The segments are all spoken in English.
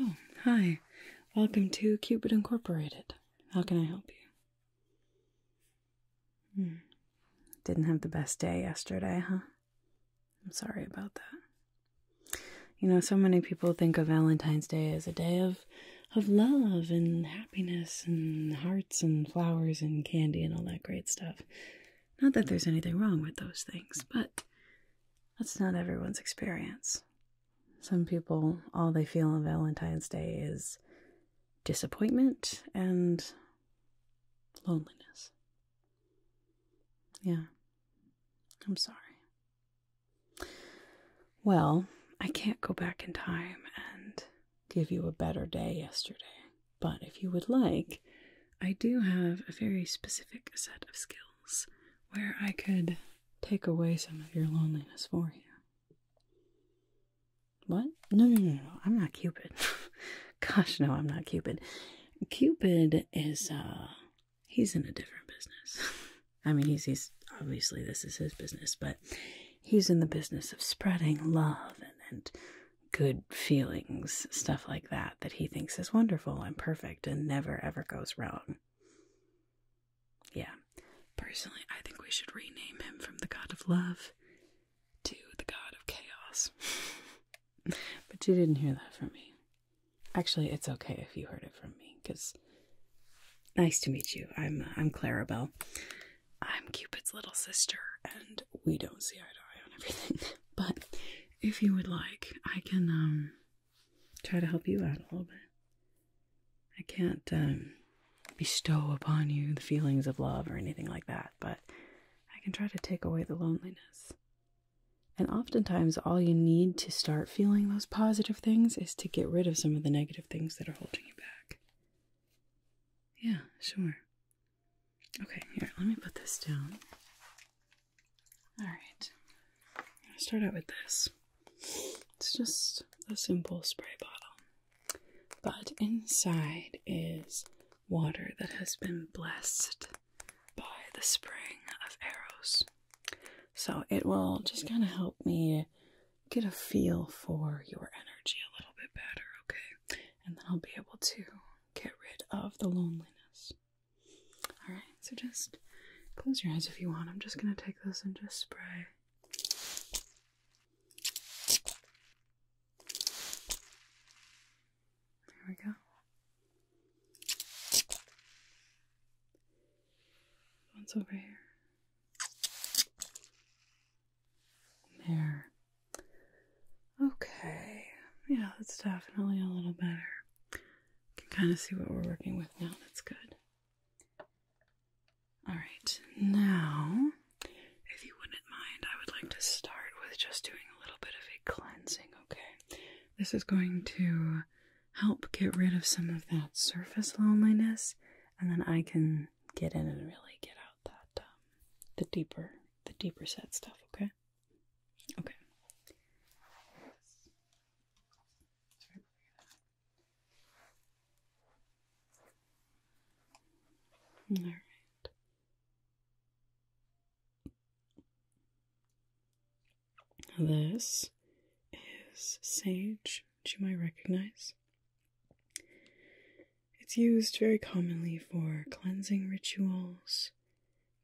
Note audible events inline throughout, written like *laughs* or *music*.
Oh, hi. Welcome to Cupid Incorporated. How can I help you? Hmm. Didn't have the best day yesterday, huh? I'm sorry about that. You know, so many people think of Valentine's Day as a day of of love and happiness and hearts and flowers and candy and all that great stuff. Not that there's anything wrong with those things, but that's not everyone's experience. Some people, all they feel on Valentine's Day is disappointment and loneliness. Yeah, I'm sorry. Well, I can't go back in time and give you a better day yesterday. But if you would like, I do have a very specific set of skills where I could take away some of your loneliness for you. What? No, no, no, no. I'm not Cupid. *laughs* Gosh, no, I'm not Cupid. Cupid is, uh, he's in a different business. *laughs* I mean, he's, he's obviously this is his business, but he's in the business of spreading love and, and good feelings, stuff like that, that he thinks is wonderful and perfect and never ever goes wrong. Yeah. Personally, I think we should rename him from the God of Love to the God of Chaos. *laughs* but you didn't hear that from me. Actually, it's okay if you heard it from me, because nice to meet you. I'm uh, I'm Clarabelle. I'm Cupid's little sister, and we don't see eye to eye on everything. *laughs* but if you would like, I can um try to help you out a little bit. I can't um bestow upon you the feelings of love or anything like that, but I can try to take away the loneliness. And oftentimes, all you need to start feeling those positive things is to get rid of some of the negative things that are holding you back. Yeah, sure. Okay, here, let me put this down. Alright, I'm start out with this. It's just a simple spray bottle, but inside is water that has been blessed by the spring of arrows. So it will just kind of help me get a feel for your energy a little bit better, okay? and then I'll be able to get rid of the loneliness. Alright, so just close your eyes if you want. I'm just going to take those and just spray. There we go. One's over here. There. Okay. Yeah, that's definitely a little better. Can kind of see what we're working with now. That's good. All right. Now, if you wouldn't mind, I would like to start with just doing a little bit of a cleansing, okay? This is going to help get rid of some of that surface loneliness, and then I can get in and really get out that um, the deeper the deeper set stuff, okay? Okay. All right. This is sage, which you might recognize. It's used very commonly for cleansing rituals,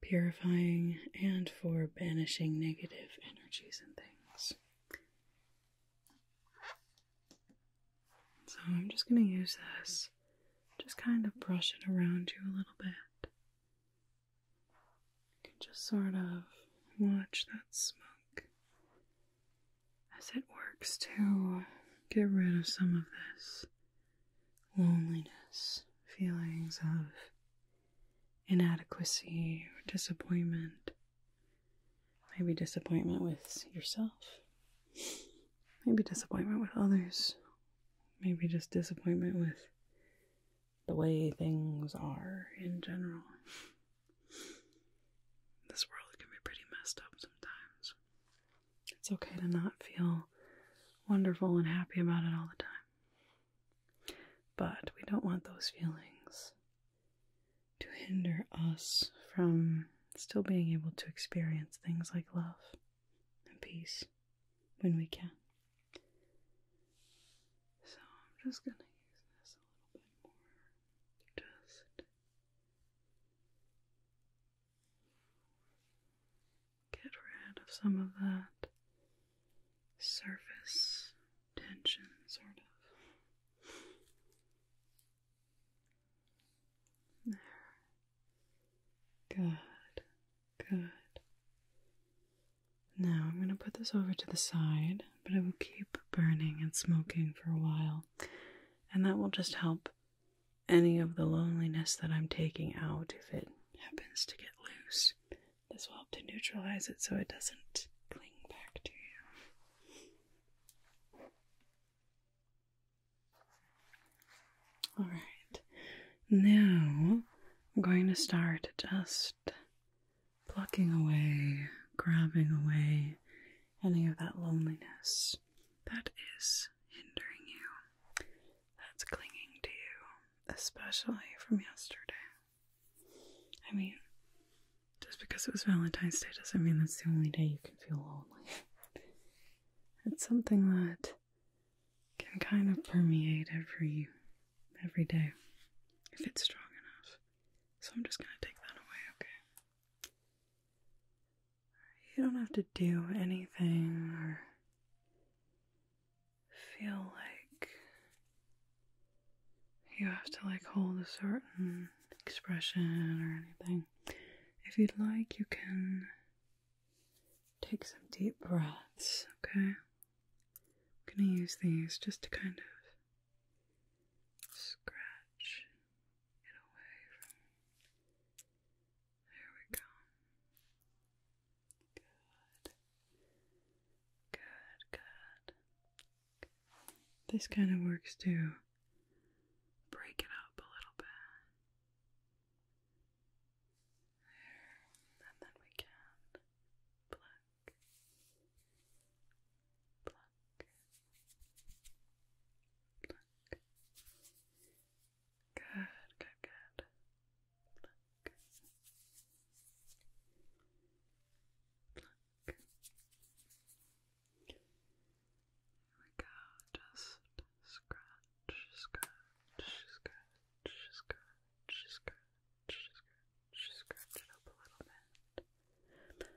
purifying, and for banishing negative energies and things. So I'm just going to use this, just kind of brush it around you a little bit. You can just sort of watch that smoke as it works to get rid of some of this loneliness, feelings of inadequacy or disappointment. Maybe disappointment with yourself, maybe disappointment with others, maybe just disappointment with the way things are in general. This world can be pretty messed up sometimes. It's okay to not feel wonderful and happy about it all the time. But we don't want those feelings to hinder us from still being able to experience things like love and peace when we can. So I'm just going to use this a little bit more. Just Get rid of some of that surface tension, sort of. There. Good. Good. Now I'm going to put this over to the side, but it will keep burning and smoking for a while, and that will just help any of the loneliness that I'm taking out, if it happens to get loose, this will help to neutralize it so it doesn't cling back to you. Alright, now I'm going to start just plucking away, grabbing away any of that loneliness that is hindering you, that's clinging to you, especially from yesterday. I mean, just because it was Valentine's Day doesn't mean that's the only day you can feel lonely. *laughs* it's something that can kind of permeate every every day if it's strong enough. So I'm just gonna take that away, okay? You don't have to do anything or feel like you have to like hold a certain expression or anything. If you'd like, you can take some deep breaths, okay? I'm gonna use these just to kind of scratch it away from. There we go. Good. Good, good. This kind of works to break it up a little bit. There, and then we can pluck, pluck, Pluck. Good, good, good. Pluck. we go. Just scratch, scratch, scratch, scratch, scratch, scratch, scratch it up a little bit.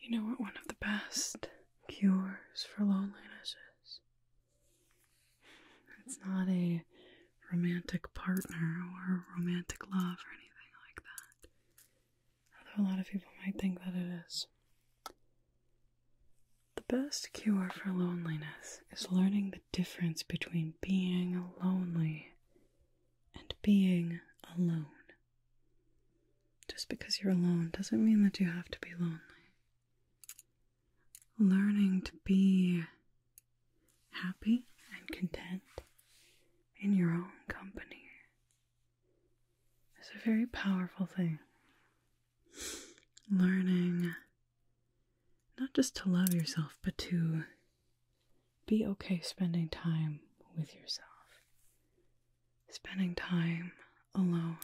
You know what one of the best cures for loneliness is? It's not a romantic partner or romantic love or anything like that. Although a lot of people might think that it is. The best cure for loneliness is learning the difference between being lonely and being alone. Just because you're alone doesn't mean that you have to be lonely. Learning to be happy and content in your own company is a very powerful thing. Learning not just to love yourself, but to be okay spending time with yourself. Spending time alone.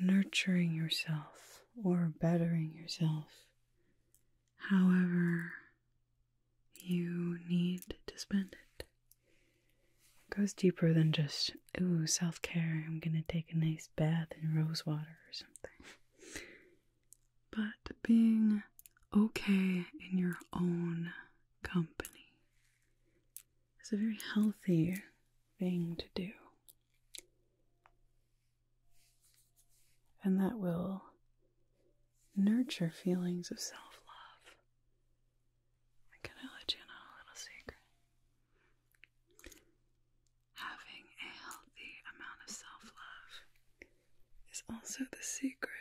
Nurturing yourself or bettering yourself. However, you need to spend it. It goes deeper than just, ooh, self care, I'm gonna take a nice bath in rose water or something but being okay in your own company is a very healthy thing to do. And that will nurture feelings of self love. And can I let you in a little secret? Having a healthy amount of self love is also the secret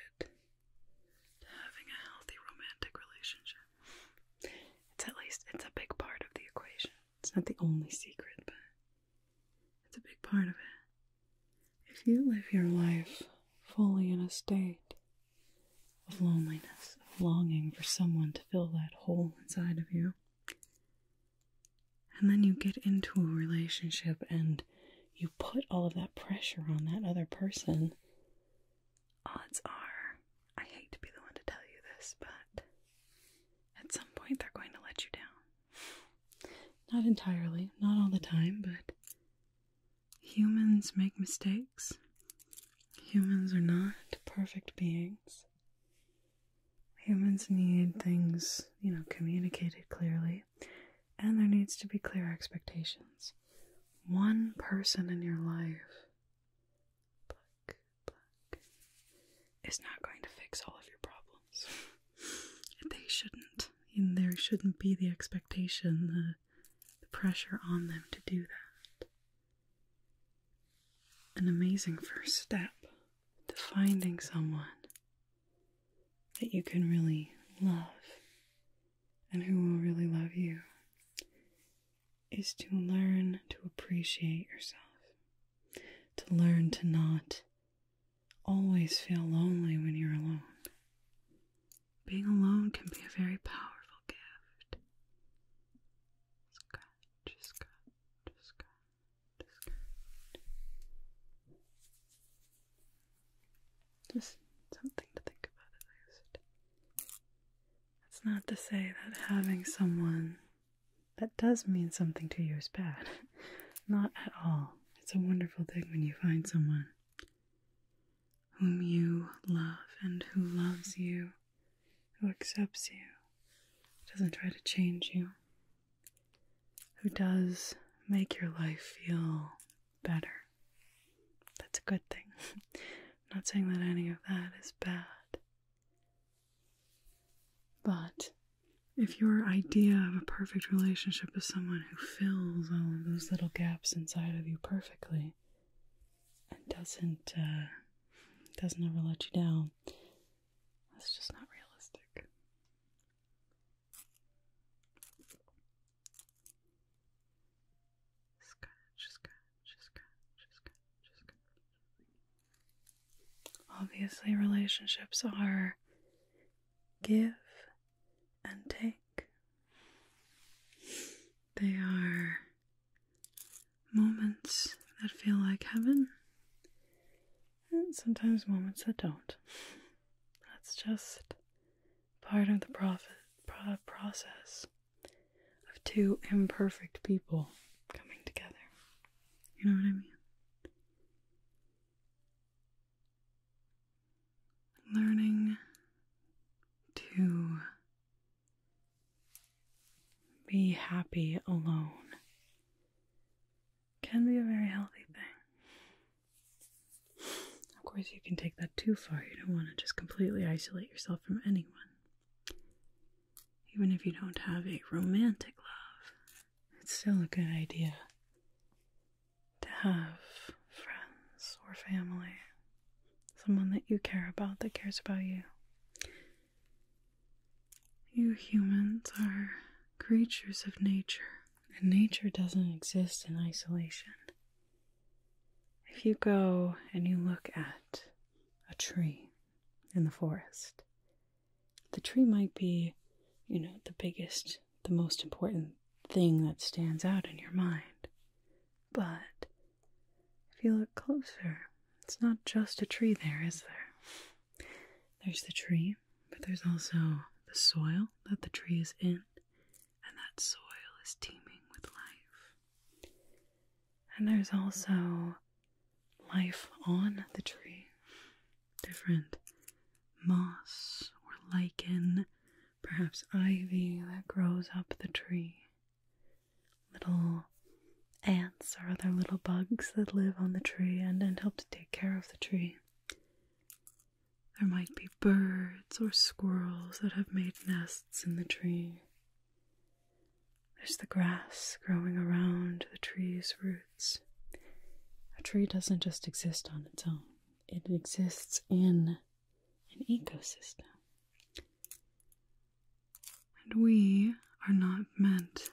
having a healthy romantic relationship. It's at least it's a big part of the equation. It's not the only secret, but it's a big part of it. If you live your life fully in a state of loneliness, of longing for someone to fill that hole inside of you, and then you get into a relationship and you put all of that pressure on that other person, odds are, I hate to be the one to tell you this, but at some point they're going to let you down. Not entirely, not all the time, but humans make mistakes. Humans are not perfect beings. Humans need things, you know, communicated clearly and there needs to be clear expectations. One person in your life, black, black, is not going to fix all of your problems. *laughs* they shouldn't. And there shouldn't be the expectation, the, the pressure on them to do that. An amazing first step to finding someone that you can really love and who will really love you is to learn to appreciate yourself, to learn to not always feel lonely when you're alone. Being alone can be a very powerful gift. Just something to think about at least. That's not to say that having someone that does mean something to you is bad. *laughs* Not at all. It's a wonderful thing when you find someone whom you love and who loves you, who accepts you, doesn't try to change you who does make your life feel better. That's a good thing. *laughs* not saying that any of that is bad. But if your idea of a perfect relationship is someone who fills all of those little gaps inside of you perfectly and doesn't uh, doesn't ever let you down, that's just not realistic. Scratch, scratch, scratch, scratch, scratch. Obviously, relationships are give and take. They are moments that feel like heaven and sometimes moments that don't. That's just part of the profit, process of two imperfect people coming together. You know what I mean? Learning to be happy alone can be a very healthy thing. Of course, you can take that too far. You don't want to just completely isolate yourself from anyone. Even if you don't have a romantic love, it's still a good idea to have friends or family, someone that you care about that cares about you. You humans are creatures of nature. And nature doesn't exist in isolation. If you go and you look at a tree in the forest, the tree might be, you know, the biggest, the most important thing that stands out in your mind. But if you look closer, it's not just a tree there, is there? There's the tree, but there's also the soil that the tree is in, and that soil is teeming with life. And there's also life on the tree, different moss or lichen, perhaps ivy that grows up the tree, little ants or other little bugs that live on the tree and, help to take care of the tree. There might be birds or squirrels that have made nests in the tree. There's the grass growing around the tree's roots. A tree doesn't just exist on its own, it exists in an ecosystem. And we are not meant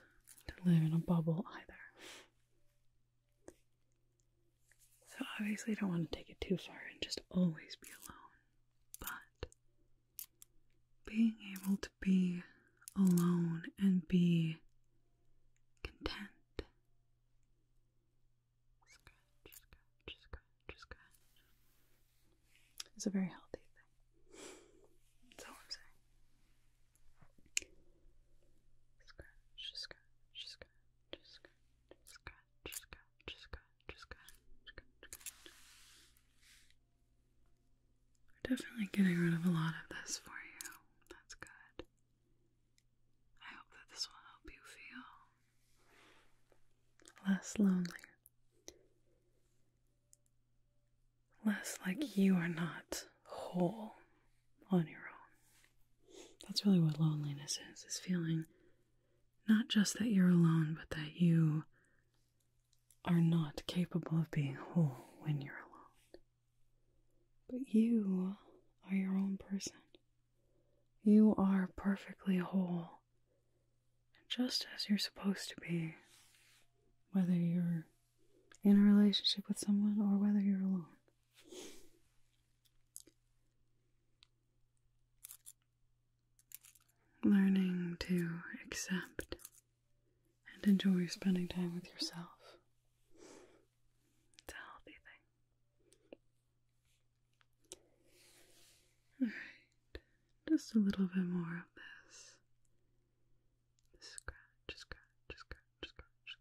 to live in a bubble either. So obviously I don't want to take it too far and just always be alone. But being able to be alone and be content. is a very healthy thing. That's all I'm saying. Scratch, scratch, We're definitely getting rid of a lot of this for you. That's good. I hope that this will help you feel less lonely. Less like you are not whole on your own. That's really what loneliness is, is feeling not just that you're alone, but that you are not capable of being whole when you're alone. But you are your own person. You are perfectly whole, just as you're supposed to be, whether you're in a relationship with someone or whether you're alone. Learning to accept and enjoy spending time with yourself. It's a healthy thing. Alright, just a little bit more of this. Scratch, scratch, scratch scratch, scratch, scratch,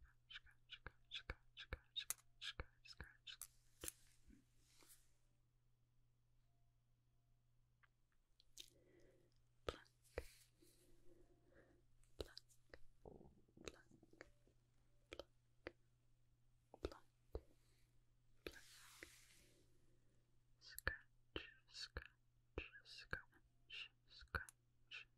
scratch, scratch, scratch, scratch, scratch. Pluck, pluck, pluck, Scratch, scratch, scratch, scratch,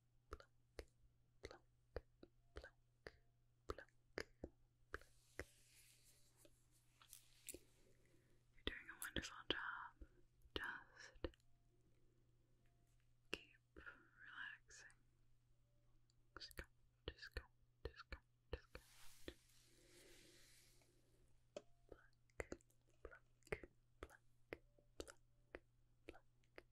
pluck, You're doing a wonderful job. Just keep relaxing. Just go, just go, just go, just go.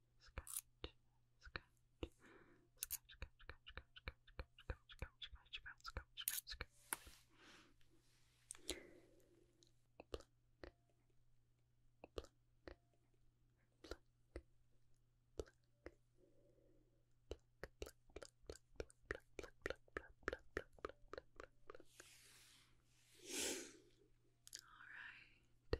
scratch, scratch, scratch, scratch, scratch, scratch, scratch, scratch, scratch, scratch, scratch, scratch, scratch. Pluck, pluck, pluck, pluck, pluck, pluck, pluck, pluck, pluck, pluck, pluck, pluck, pluck, pluck, pluck, pluck, pluck. All right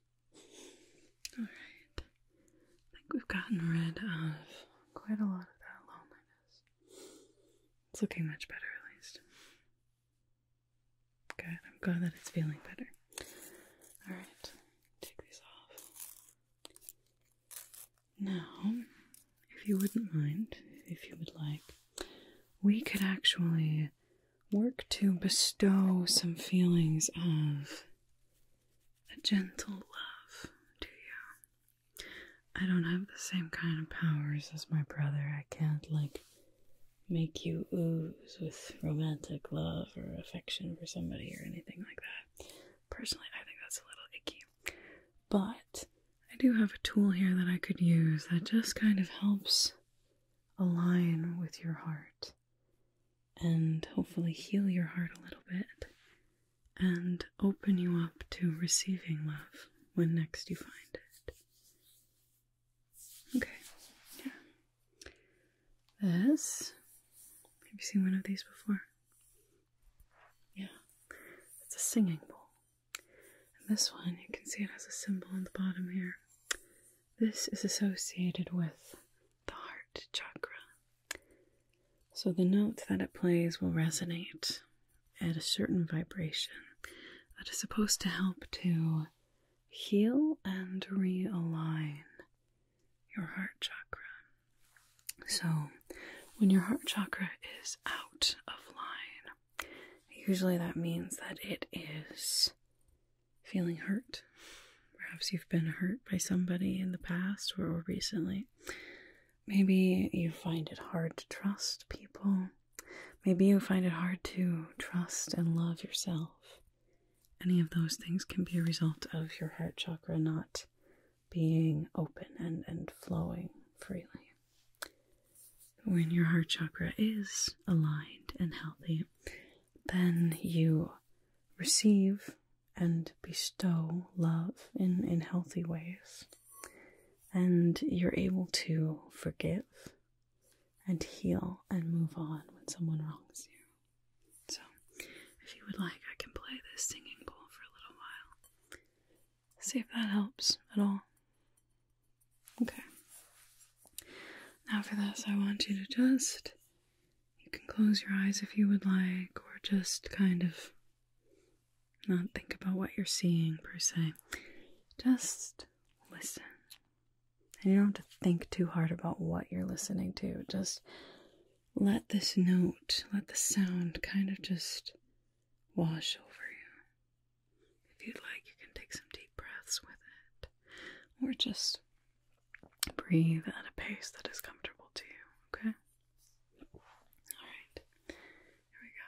Alright. I think we've gotten rid of quite a lot of that loneliness. It's looking much better, at least. Good. I'm glad that it's feeling better. Alright. Take these off. Now, if you wouldn't mind, if you would like, we could actually work to bestow some feelings of a gentle love to you. I don't have the same kind of powers as my brother. I can't, like, make you ooze with romantic love or affection for somebody or anything like that. Personally, I think that's a little icky. But I do have a tool here that I could use that just kind of helps align with your heart and hopefully heal your heart a little bit and open you up to receiving love when next you find it. Okay, yeah. This, have you seen one of these before? Yeah, it's a singing bowl. And this one, you can see it has a symbol on the bottom here. This is associated with the heart chakra. So the note that it plays will resonate at a certain vibration that is supposed to help to heal and realign your heart chakra. So, when your heart chakra is out of line, usually that means that it is feeling hurt. Perhaps you've been hurt by somebody in the past or recently. Maybe you find it hard to trust people. Maybe you find it hard to trust and love yourself. Any of those things can be a result of your heart chakra not being open and, and flowing freely. When your heart chakra is aligned and healthy, then you receive and bestow love in, in healthy ways. And you're able to forgive and heal and move on when someone wrongs you. So, if you would like, I can play this singing bowl for a little while. See if that helps at all. Okay. Now, for this, I want you to just. You can close your eyes if you would like, or just kind of not think about what you're seeing per se. Just listen. And you don't have to think too hard about what you're listening to. Just let this note, let the sound kind of just wash over you. If you'd like, you can take some deep breaths with it, or just breathe at a pace that is comfortable to you, okay? Alright, here we go.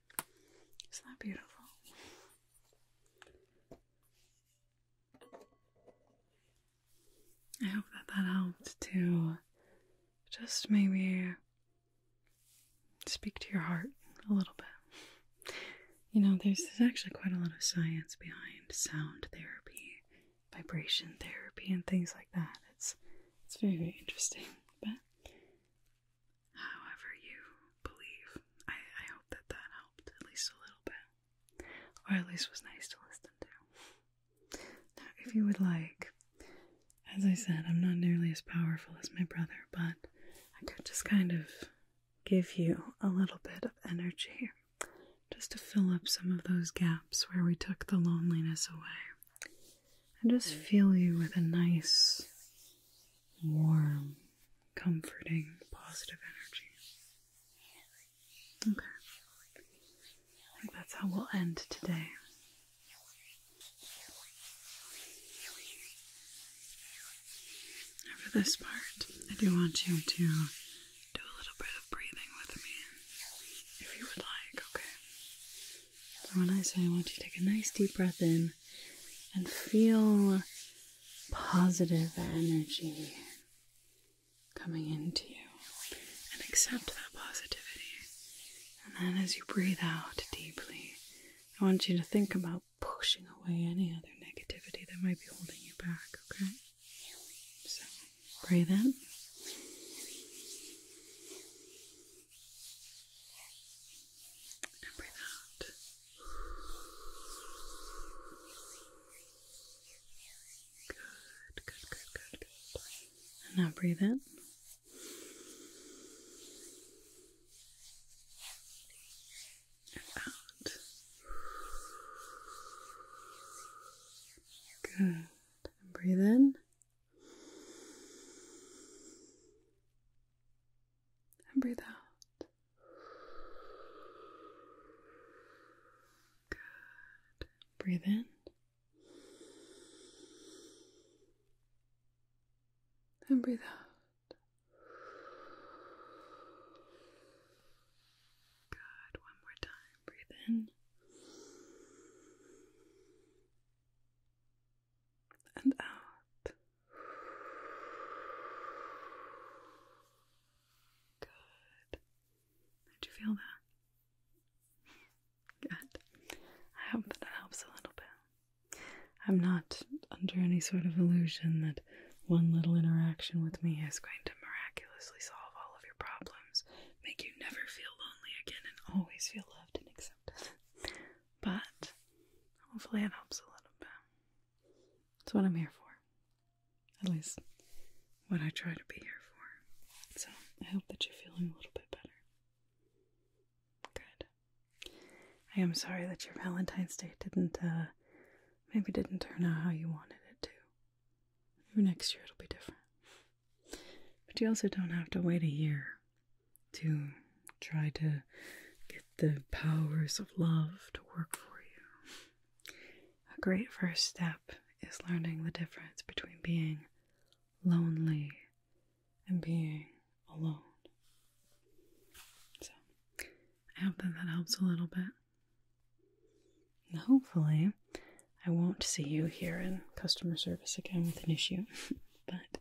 Isn't that beautiful? I hope that that helped to just maybe speak to your heart a little bit. You know, there's, actually quite a lot of science behind sound therapy, vibration therapy, and things like that. It's it's very very interesting. But however you believe. I, hope that that helped at least a little bit, or at least was nice to listen to. if you would like, as I said, I'm not nearly as powerful as my brother, but I could just kind of give you a little bit of energy just to fill up some of those gaps where we took the loneliness away. And just fill you with a nice, warm, comforting, positive energy. Okay. I think that's how we'll end today. for this part, I do want you to do a little bit of breathing with me if you would like, okay? So, when I say I want you to take a nice deep breath in and feel positive energy coming into you and accept that positivity. And then as you breathe out deeply, I want you to think about pushing away any other negativity that might be holding you back, okay? So breathe in. And breathe out. Good, good, good, good, And now breathe in. out. Good. breathe in and breathe out. Good. Breathe in. And breathe out. Good. One more time. Breathe in and out. Good. Did you feel that? Good. I hope that helps a little bit. I'm not under any sort of illusion that one little interaction with me is going to miraculously solve all of your problems, make you never feel lonely again, and always feel loved and accepted. *laughs* But hopefully it helps a little bit. That's what I'm here for. At least what I try to be here for. So I hope that you're feeling a little bit better. Good. I am sorry that your Valentine's Day didn't, uh, maybe didn't turn out how you wanted it to. Maybe next year it'll be different. But you also don't have to wait a year to try to get the powers of love to work for you. A great first step is learning the difference between being lonely and being alone. So, I hope that that helps a little bit. hopefully, I won't see you here in customer service again with an issue, *laughs* but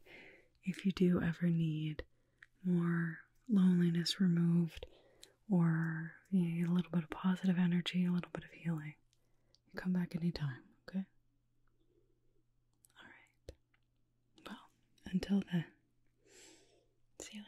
if you do ever need more loneliness removed, or a little bit of positive energy, a little bit of healing. come back anytime, okay? Alright. Well, until then, see you later.